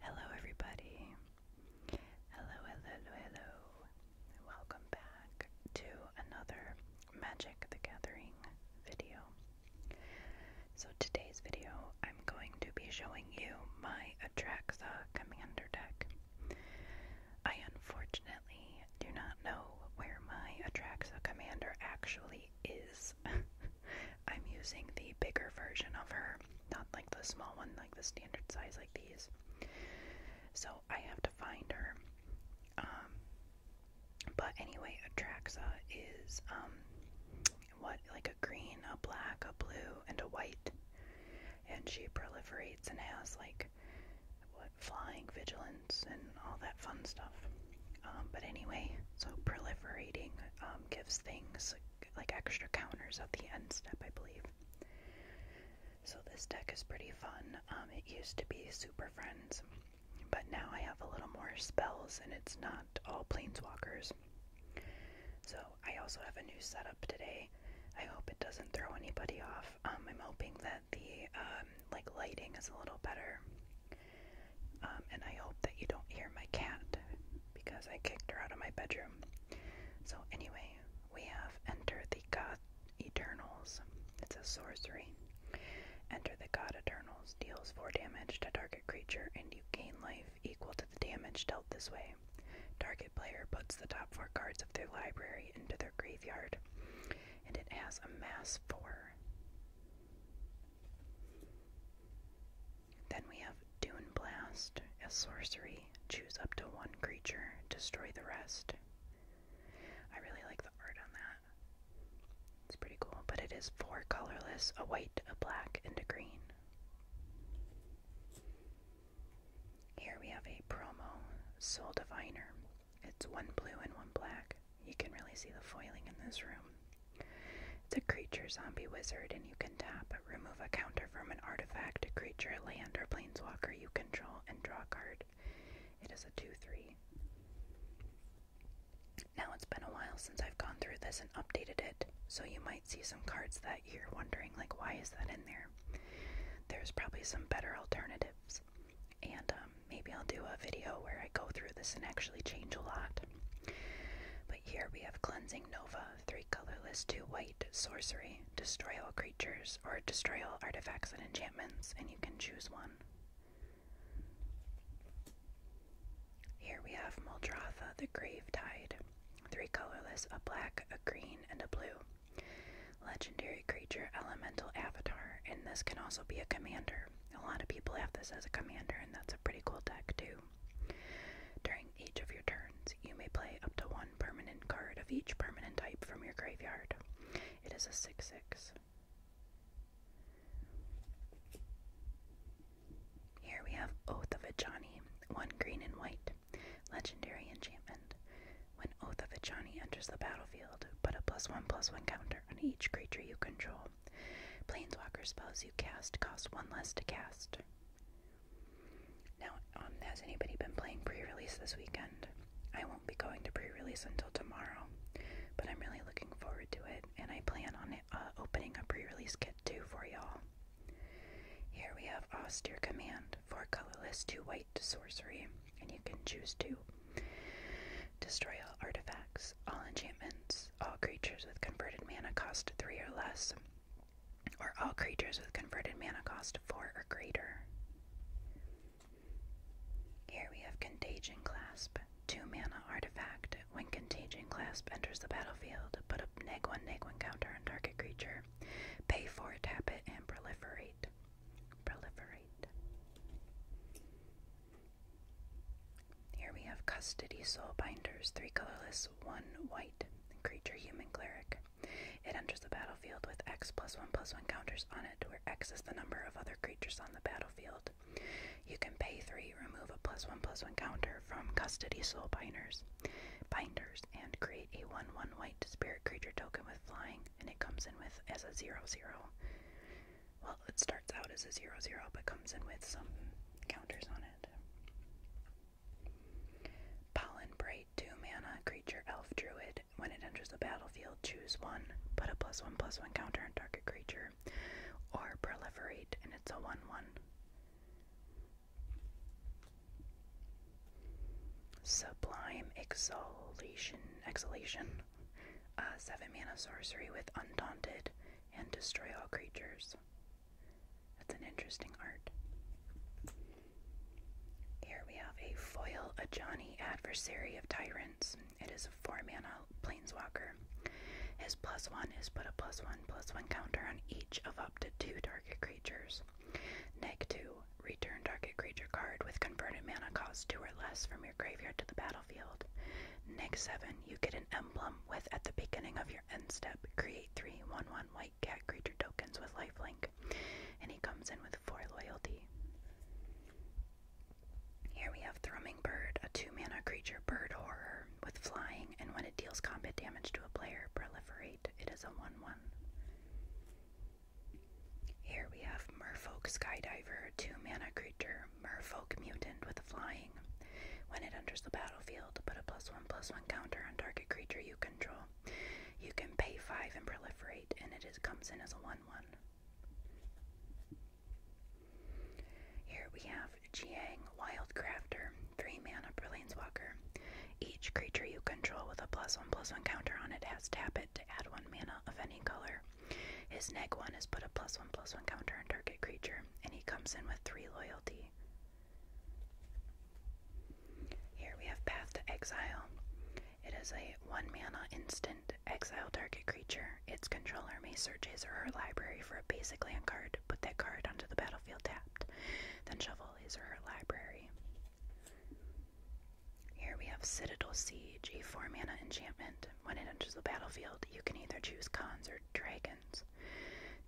Hello, everybody. Hello, hello, hello. Welcome back to another Magic the Gathering video. So, today's video, I'm going to be showing you my Atraxa Commander deck. I unfortunately do not know where my Atraxa Commander actually is I'm using the bigger version of her, not like the small one, like the standard size, like these. So I have to find her. Um, but anyway, Atraxa is um, what like a green, a black, a blue, and a white, and she proliferates and has like what flying vigilance and all that fun stuff. Um, but anyway, so proliferating um, gives things like extra counters at the end step, I believe. So this deck is pretty fun. Um, it used to be Super Friends, but now I have a little more spells and it's not all Planeswalkers. So I also have a new setup today. I hope it doesn't throw anybody off. I'm hoping that the like lighting is a little better. Um, and I hope that you don't hear my cat because I kicked her out of my bedroom. So, anyway, we have Enter the God Eternals. It's a sorcery. Enter the God Eternals deals 4 damage to target creature, and you gain life equal to the damage dealt this way. Target player puts the top 4 cards of their library into their graveyard, and it has a mass 4. Then we have Dune Blast, a sorcery. Choose up to one creature, destroy the rest. I really like the art on that. It's pretty cool, but it is four colorless a white, a black, and a green. Here we have a promo Soul Diviner. It's one blue and one black. You can really see the foiling in this room. It's a creature zombie wizard, and you can tap, remove a counter from an artifact, a creature, land, or planeswalker you control, and draw a card. It is a 2 3. Now it's been a while since I've gone through this and updated it, so you might see some cards that you're wondering, like, why is that in there? There's probably some better alternatives. And um, maybe I'll do a video where I go through this and actually change a lot. But here we have Cleansing Nova, three colorless, two white, sorcery, destroy all creatures, or destroy all artifacts and enchantments, and you can choose one. Here we have Muldratha the Grave Tide, three colorless, a black, a green, and a blue. Legendary creature, elemental avatar, and this can also be a commander. A lot of people have this as a commander, and that's a pretty cool deck, too. During each of your turns, you may play up to one permanent card of each permanent type from your graveyard. It is a 6 6. Here we have Oath of Ajani, one green and white, legendary enchantment. When Oath of Ajani enters the battlefield, put a plus one plus one counter on each creature you control. Planeswalker spells you cast cost one less to cast. Now, um, has anybody been playing pre release this weekend? I won't be going to pre release until tomorrow, but I'm really looking forward to it, and I plan on uh, opening a pre release kit too for y'all. Here we have Austere Command, 4 colorless, 2 white sorcery, and you can choose two. Destroy all artifacts, all enchantments, all creatures with converted mana cost 3 or less, or all creatures with converted mana cost 4 or greater. Here we have Contagion Clasp, 2 mana artifact. When Contagion Clasp enters the battlefield, put a neg 1 neg 1 counter on target creature. Pay 4, tap it, and proliferate. Proliferate. Here we have Custody Soul Binders, three colorless, one white, creature human cleric. It enters the battlefield with X plus one plus one counters on it, where X is the number of other creatures on the battlefield. You can pay three, remove a plus one plus one counter from Custody Soul Binders, binders, and create a one one white spirit creature token with flying, and it comes in with as a 0/0 well, it starts out as a 0 0 but comes in with some counters on it. Pollen 2 mana, creature, elf, druid. When it enters the battlefield, choose one, put a plus 1 plus 1 counter on target creature, or proliferate, and it's a 1 1. Sublime Exhalation. Exhalation. A uh, 7 mana sorcery with Undaunted and Destroy All Creatures. That's an interesting art. Here we have a Foil a Johnny Adversary of Tyrants. It is a 4 mana planeswalker. His plus 1 is put a plus 1 plus 1 counter on each of up to 2 target creatures. Neg 2, return target creature card with converted mana cost 2 or less from graveyard to the battlefield. Next 7, you get an emblem with at the beginning of your end step, create 3 1 1 white cat creature tokens with lifelink, and he comes in with 4 loyalty. Here we have Thrumming Bird, a 2 mana creature bird horror with flying, and when it deals combat damage to a player, proliferate. It is a 1 1. Here we have Murfok Skydiver, 2 mana creature, Murfok Mutant with a flying. When it enters the battlefield, put a plus 1 plus 1 counter on target creature you control. You can pay 5 and proliferate, and it comes in as a 1 1. Here we have Jiang Crafter, 3 mana Brilliancewalker. Each creature you control with a plus 1 plus 1 counter on it has tap it to add 1 mana of any color. His neg one is put a plus one plus one counter on target creature, and he comes in with three loyalty. Here we have Path to Exile. It is a one mana instant exile target creature. Its controller may search his or her library for a basic land card, put that card onto the battlefield tapped, then shuffle his or her library. Here we have Citadel Siege, 4 mana enchantment. When it enters the battlefield, you can either choose cons or dragons.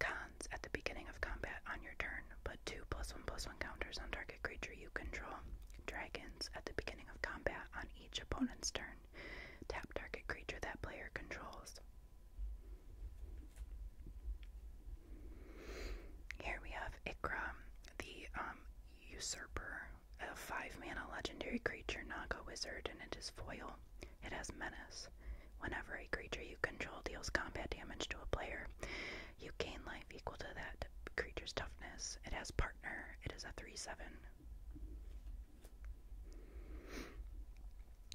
Cons at the beginning of combat on your turn, put 2 plus 1 plus 1 counters on target creature you control. Dragons at the beginning of combat on each opponent's turn, tap target creature that player controls. Here we have Ikram, the um, Usurper. A 5 mana legendary creature, not a Wizard, and it is foil. It has menace. Whenever a creature you control deals combat damage to a player, you gain life equal to that creature's toughness. It has partner. It is a 3 7.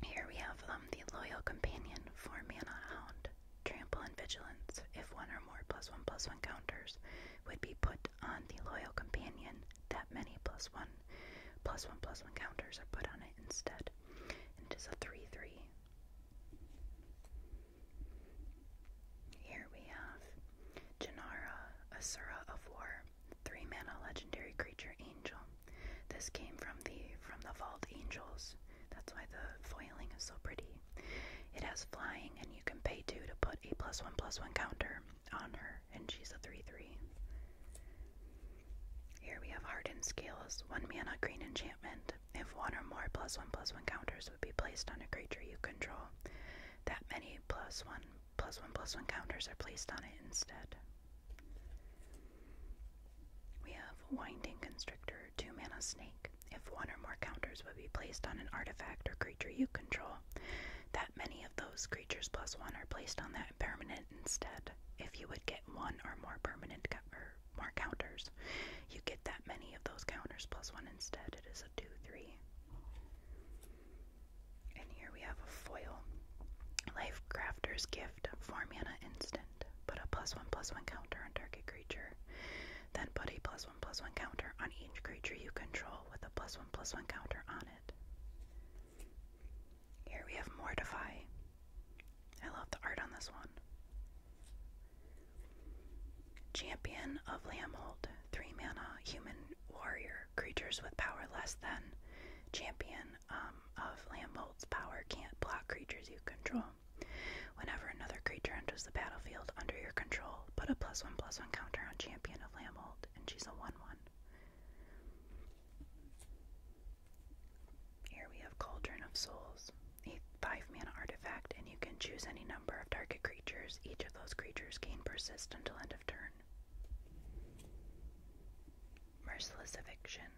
Here we have um, the Loyal Companion, 4 mana Hound trample and vigilance, if one or more plus one plus one counters would be put on the loyal companion, that many plus one plus one plus one counters are put on it instead. And it is a three three. Here we have Janara, Asura of War, three mana legendary creature angel. This came from the from the Vault Angels. That's why the foiling is so pretty. It has flying, and you can pay two to put a plus one plus one counter on her, and she's a three three. Here we have hardened scales, one mana green enchantment. If one or more plus one plus one counters would be placed on a creature you control, that many plus one plus one plus one counters are placed on it instead. We have Winding Constrictor, two mana snake. If one or more counters would be placed on an artifact or creature you control, that many of those creatures plus one are placed on that permanent instead. If you would get one or more permanent or more counters, you get that many of those counters plus one instead. It is a 2 3. And here we have a foil. Life Crafter's Gift, 4 mana instant. Put a plus 1 plus 1 counter on target creature. Then put a plus one plus counter on each creature you control with a plus one plus one counter on it. Here we have Mortify. I love the art on this one. Champion of Lamhold, 3 mana, human warrior. Creatures with power less than Champion um, of Lamhold's power can't block creatures you control. Whenever another creature enters the battlefield under your control, put a plus one plus one counter on Champion of Lamhold, and she's a one one. Here we have Cauldron of Souls, a five man artifact, and you can choose any number of target creatures. Each of those creatures gain persist until end of turn. Merciless Eviction.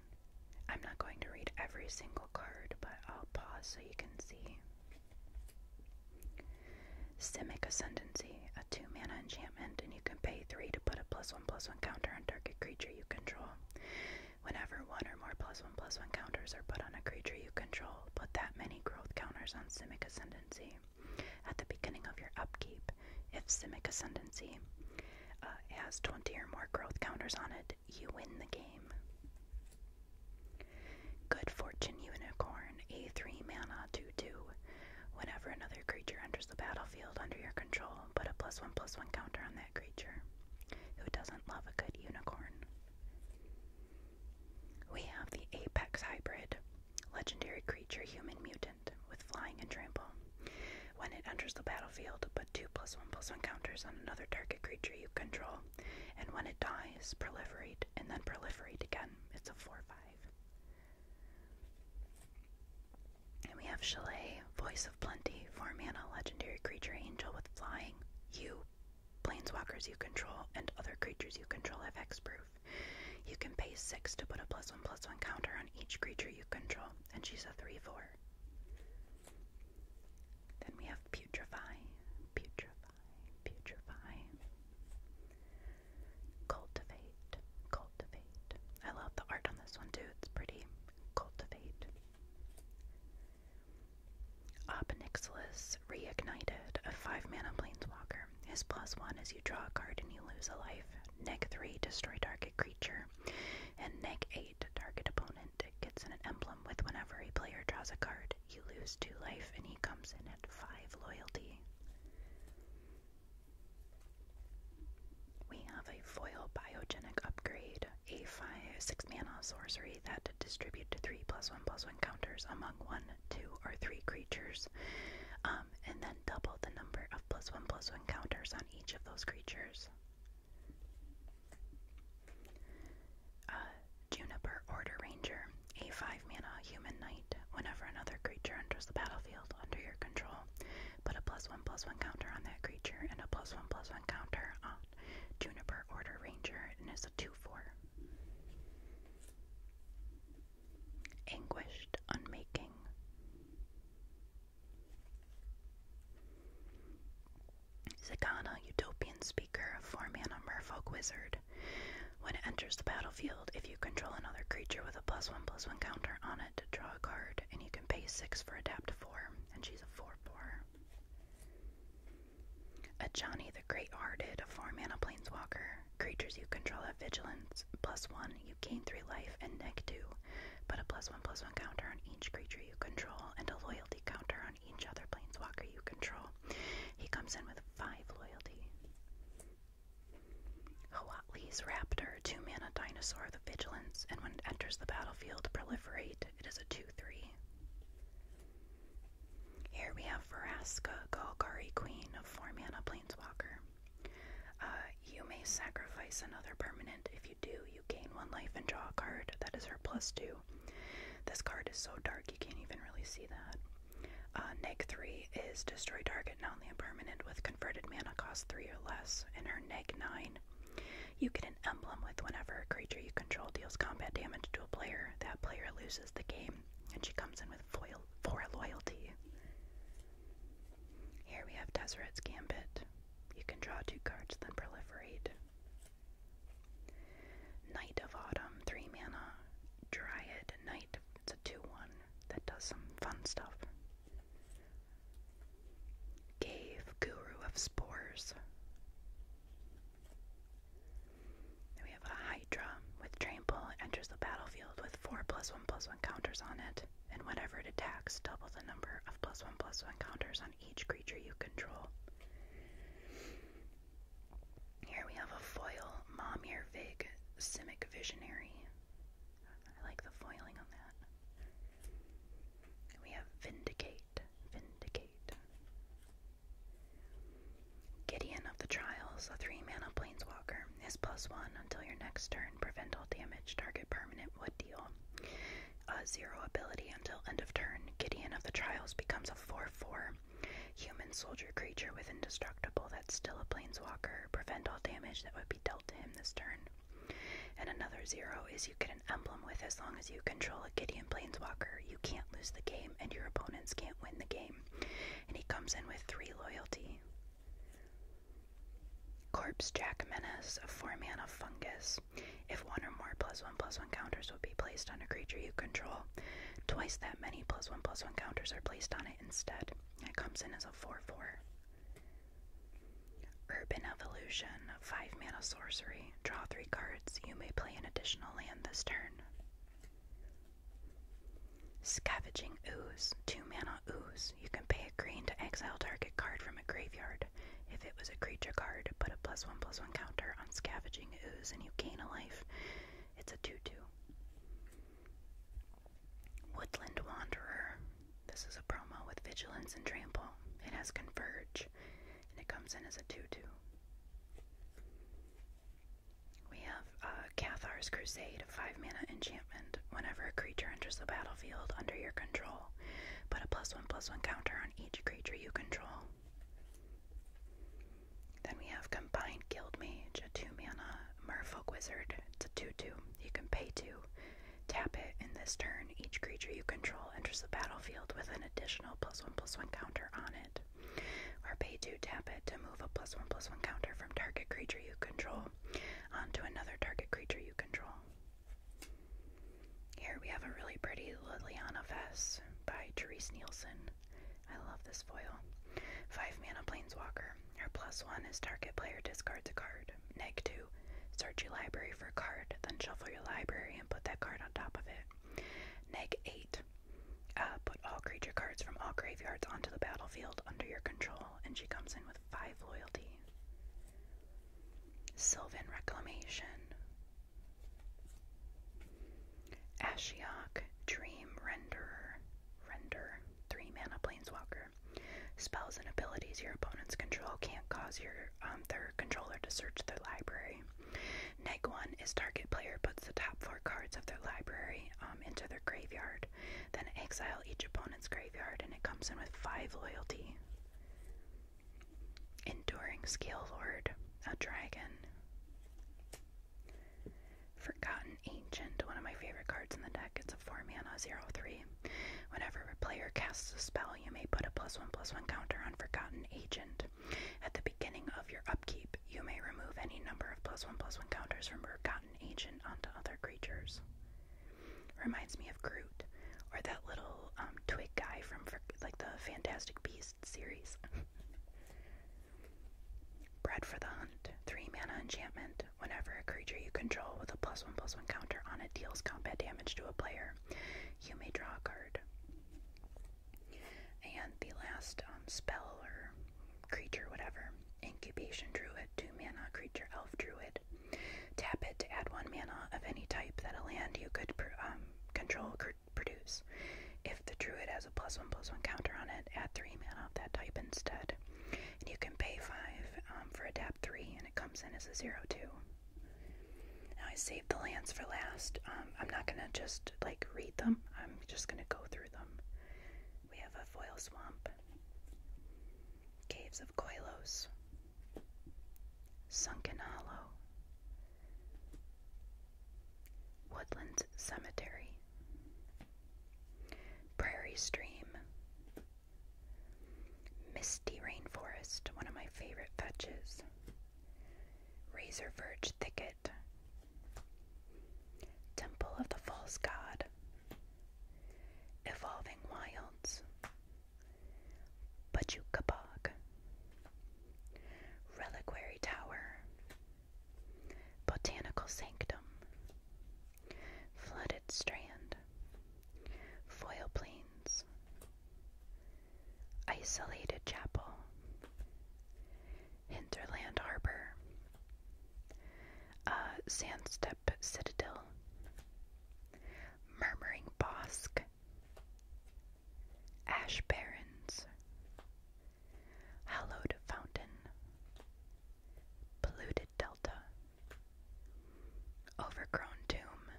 I'm not going to read every single card, but I'll pause so you can see. Simic Ascendancy, a 2 mana enchantment, and you can pay 3 to put a plus 1 plus 1 counter on target creature you control. Whenever one or more plus 1 plus 1 counters are put on a creature you control, put that many growth counters on Simic Ascendancy at the beginning of your upkeep. If Simic Ascendancy uh, has 20 or more growth counters on it, you win the game. Good Fortune Unicorn, a 3 mana 2 2. Whenever another creature enters the battlefield under your control, put a plus 1 plus 1 counter on that creature. Who doesn't love a good unicorn? We have the Apex Hybrid, legendary creature human mutant with flying and trample. When it enters the battlefield, two plus one plus one counters on another target creature you control, and when it dies, proliferate, and then proliferate again. It's a 4 5. And we have Chalet, Voice of Plenty, 4 mana, legendary creature, angel with flying. You, planeswalkers you control, and other creatures you control have hexproof. You can pay 6 to put a plus 1 plus 1 counter on each creature you control, and she's a 3 4. Then we have putrefy, putrefy, putrefy. Cultivate, cultivate. I love the art on this one too, it's pretty. Cultivate. Obnixilis reignited, a 5 mana planeswalker. His plus 1 is you draw a card and you lose a life. Neg 3, destroy target creature. And neg eight target opponent gets an emblem with whenever a player draws a card, you lose two life and he comes in at five loyalty. We have a foil biogenic upgrade, a five six mana sorcery that distribute three plus one plus one counters among one, two, or three creatures. Um, and then double the number of plus one plus one counters on each of those creatures. Juniper Order Ranger, a 5 mana human knight. Whenever another creature enters the battlefield under your control, put a plus 1 plus 1 counter on that creature and a plus 1 plus 1 counter on Juniper Order Ranger, and it's a 2 4. Anguished Unmaking. Zakana, utopian speaker, four mana merfolk wizard. When it enters the battlefield, if you control another creature with a plus one plus one counter on it, draw a card, and you can pay six for adapt four, and she's a four four. A Johnny the Great Hearted, a four mana planeswalker. Creatures you control have vigilance, plus one, you gain three life and neg two, put a plus one plus one counter on each creature you control and a loyalty counter on each other Planeswalker you control. He comes in with 5 loyalty. Hawatli's Raptor, 2 mana dinosaur with vigilance, and when it enters the battlefield, proliferate. It is a 2 3. Here we have Veraska, Golgari Queen, 4 mana Planeswalker. Uh, you may sacrifice another permanent. If you do, you gain one life and draw a card. That is her plus two. This card is so dark you can't even really see that. Uh, neg 3 is destroy target non-land permanent with converted mana cost 3 or less. In her neg 9, you get an emblem with whenever a creature you control deals combat damage to a player. That player loses the game. And she comes in with foil 4 loyalty. Here we have Deseret's Gambit. You can draw two cards, then proliferate. Knight of Autumn, 3 mana. Dryad Knight, it's a 2 1 that does some fun stuff. Cave Guru of Spores. Then we have a Hydra with Trample, enters the battlefield with 4 plus 1 plus 1 counters on it and whenever it attacks, double the number of plus one plus one counters on each creature you control. Here we have a foil Momir Vig Simic Visionary. I like the foiling on that. We have Vindicate. Vindicate. Gideon of the Trials, a three mana planeswalker, is plus one until your next turn. Prevent all damage. Target permanent would deal a zero ability until end of turn, Gideon of the Trials becomes a 4 4 human soldier creature with indestructible that's still a planeswalker. Prevent all damage that would be dealt to him this turn. And another zero is you get an emblem with as long as you control a Gideon planeswalker. You can't lose the game, and your opponents can't win the game. And he comes in with three loyalty. Corpse Jack Menace, a 4 mana fungus. If one or more plus 1 plus 1 counters would be placed on a creature you control, twice that many plus 1 plus 1 counters are placed on it instead. It comes in as a 4 4. Urban Evolution, 5 mana sorcery. Draw 3 cards. You may play an additional land this turn. Scavenging Ooze, 2 mana ooze. You can pay a green to exile target card from a graveyard. If it was a creature card, put a plus one plus one counter on Scavenging Ooze and you gain a life. It's a 2 2. Woodland Wanderer. This is a promo with Vigilance and Trample. It has Converge, and it comes in as a 2 2. We have Cathar's uh, Crusade, a 5 mana enchantment enchantment. Whenever a creature enters the battlefield under your control, put a plus one plus one counter on each creature you control. Then we have Combined Guild Mage, a 2 mana Merfolk Wizard. It's a 2 2. You can pay 2. Tap it, in this turn, each creature you control enters the battlefield with an additional plus 1 plus 1 counter on it. Or pay 2, tap it to move a plus 1 plus 1 counter from target creature you control onto another target creature you control. Here we have a really pretty Liliana Vess by Therese Nielsen. I love this foil. 5 mana Planeswalker. Her plus 1 is target player discards a card. Neg 2. Search your library for a card, then shuffle your library and put that card on top of it. Neg 8. Uh, put all creature cards from all graveyards onto the battlefield under your control, and she comes in with 5 loyalty. Sylvan Reclamation. Ashiok Dream Renderer. Render. 3 mana Planeswalker. Spells and abilities your opponents control can't cause your um, their controller to search their library. Neg 1 is target player puts the top 4 cards of their library um, into their graveyard. Then exile each opponent's graveyard, and it comes in with 5 loyalty. Enduring Scale Lord, a dragon. Forgotten Ancient, one of my favorite cards in the deck. It's a 4 mana 0 3. Whenever a player casts a spell, you may put a plus 1 plus 1 counter on Forgotten Agent. At the beginning of your upkeep, you may remove any number of plus 1 plus 1 counters from Forgotten gotten agent onto other creatures. Reminds me of Groot or that little um, twig guy from like the Fantastic Beasts series. Bread for the Hunt. Three mana enchantment. Whenever a creature you control with a plus one plus one counter on it deals combat damage to a player, you may draw a card. And the last um, spell or creature, whatever, Incubation Druid, 2 mana creature elf druid. Tap it to add 1 mana of any type that a land you could um, control could produce. If the druid has a plus 1 plus 1 counter on it, add 3 mana of that type instead. And you can pay 5 um, for a tap 3, and it comes in as a 0 2. Now I save the lands for last. Um, I'm not going to just like read them, I'm just going to go through them. We have a foil swamp. Caves of Koilos, Sunken Hollow, Woodlands Cemetery, Prairie Stream, Misty Rainforest, one of my favorite fetches, Razor Verge Thicket. Temple of the False God. Evolving Wilds. Bajukabog. Reliquary Tower. Botanical Sanctum. Flooded Strand. Foil Plains. Isolated Chapel. Hinterland Harbor, uh, Sandstep Citadel, Murmuring Bosk, Ash Barrens, Hallowed Fountain, Polluted Delta, Overgrown Tomb,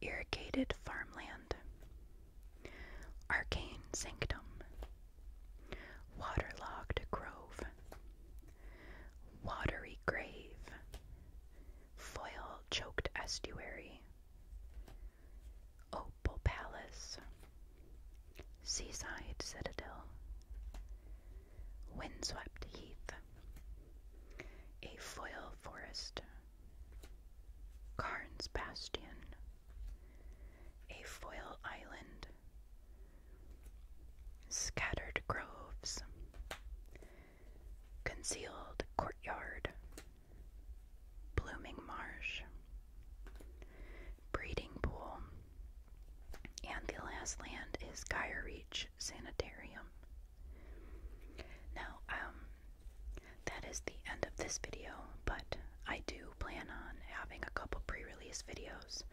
Irrigated Farmland, Arcane Sanctum, Waterlogged grove, watery grave, foil choked estuary, opal palace, seaside citadel, windswept heath, a foil forest, Carnes bastion, a foil island, scattered groves, concealed courtyard, blooming marsh, breeding pool, and the last land is Gyre Sanitarium. Now, um, that is the end of this video, but I do plan on having a couple pre-release videos.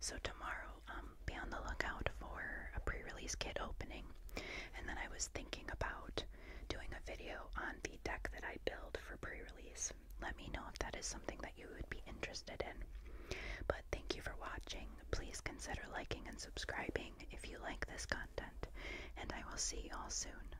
So tomorrow, um, be on the lookout for a pre-release kit opening. And then I was thinking about doing a video on the deck that I built for pre-release. Let me know if that is something that you would be interested in. But thank you for watching. Please consider liking and subscribing if you like this content. And I will see you all soon.